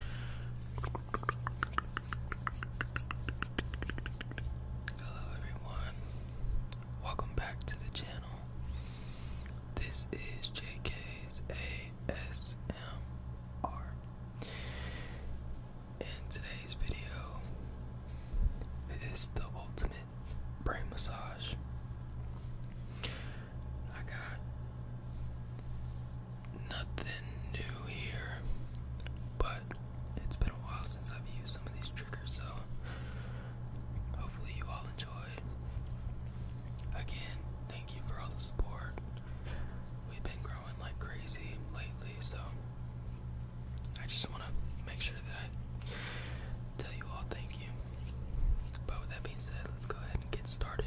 Hello everyone. Welcome back to the channel. This is JK's ASMR. In today's video, it is the ultimate brain massage. I got nothing new here, but it's been a while since I've used some of these triggers, so hopefully you all enjoyed. Again, thank you for all the support. We've been growing like crazy lately, so I just want to make sure that I tell you all thank you. But with that being said, let's go ahead and get started.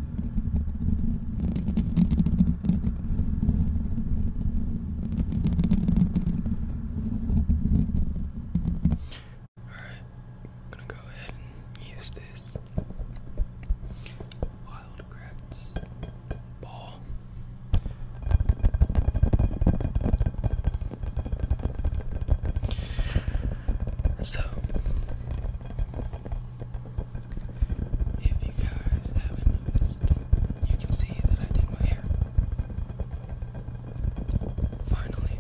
Alright, I'm gonna go ahead and use this wild crabs ball. So if you guys haven't noticed, you can see that I did my hair. Finally.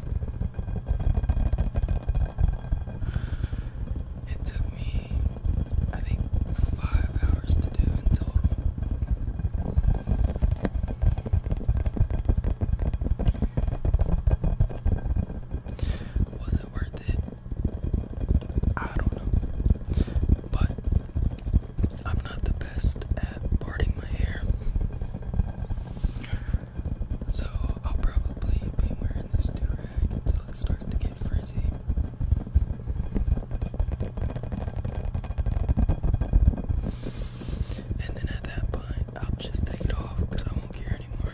It took me, I think, five hours to do in Was it worth it? I don't know. But I'm not the best at parting my hair. So I'll probably be wearing this do until it starts to get frizzy. And then at that point, I'll just take it off because I won't care hair anymore.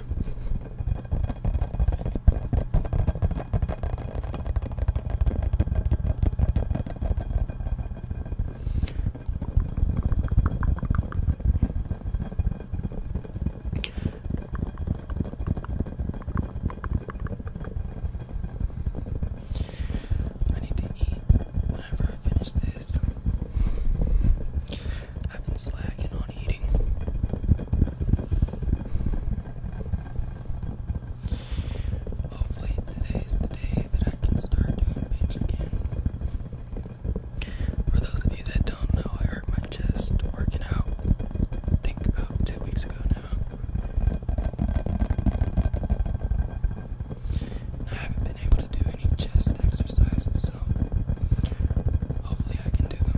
I need to eat whenever I finish this. I've been slacking on eating. Hopefully, today is the day that I can start doing bench again. For those of you that don't know, I hurt my chest working out. think about two weeks ago now. I haven't been able to do any chest exercises, so hopefully I can do them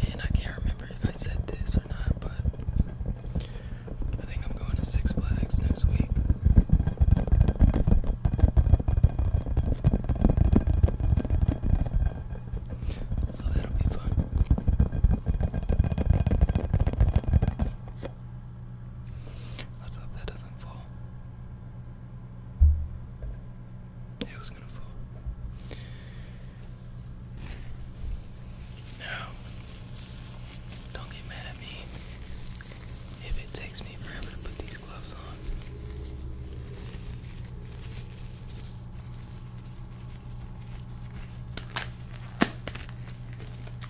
And I can't remember if I said this or not, but I think I'm going to Six Flags next week. So that'll be fun. Let's hope that doesn't fall. It was gonna fall. Now, don't get mad at me if it takes me forever to put these gloves on.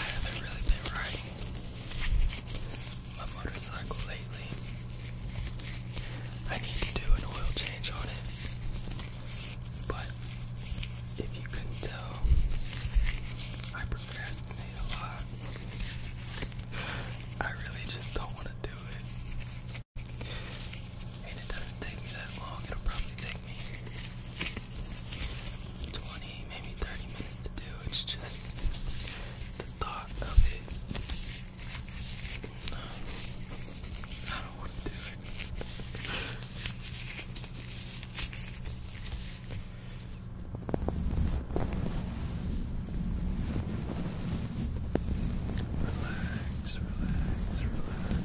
I haven't really been writing my motorcycle lately. I need to do an oil change on it. But if you could tell, I procrastinate a lot. I really just don't want to do it. And it doesn't take me that long. It'll probably take me 20 maybe 30 minutes to do. It's just the thought of it. I don't want to do it. Relax, relax, relax.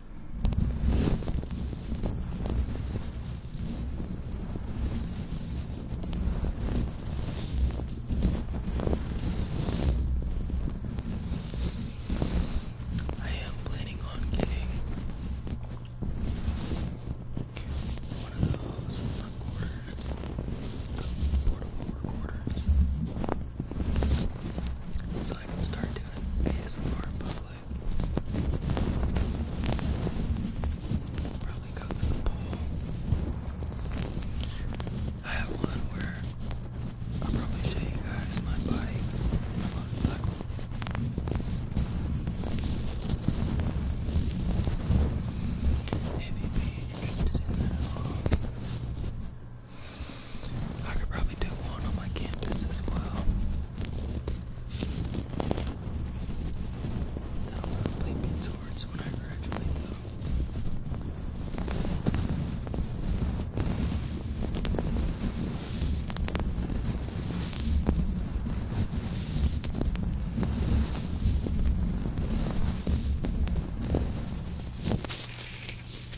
I am planning on getting one of those recorders, the portable recorders. So I can start doing ASMR in Probably go to the pool. I have one where I'll probably show you guys my bike, my be interested in that I could probably do one on my campus as well. That'll probably be towards when I graduate though.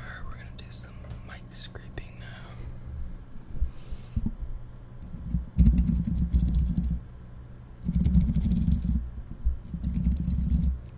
Alright, we're gonna do some mic scraping now.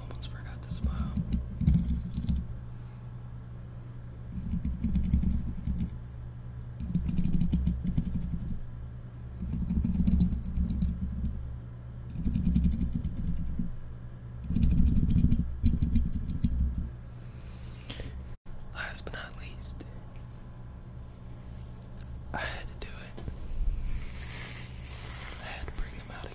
Almost forgot to smile. Last but not least, I had to do it. I had to bring them out again.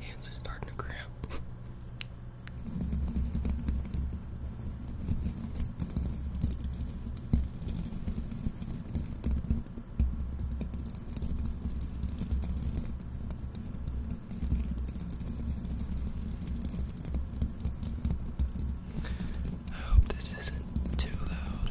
Hands are starting to cramp. I hope this isn't too loud.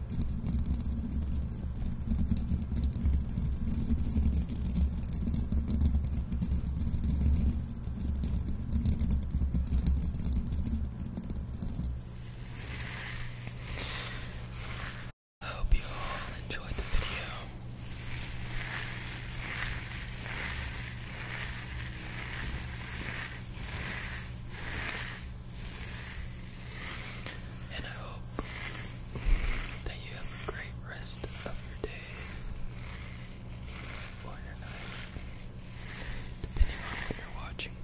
I hope you all enjoyed the video. And I hope that you have a great rest of your day or night, depending on when you're watching.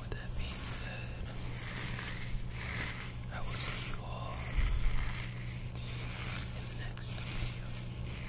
with that being said, I will see you all in the next video.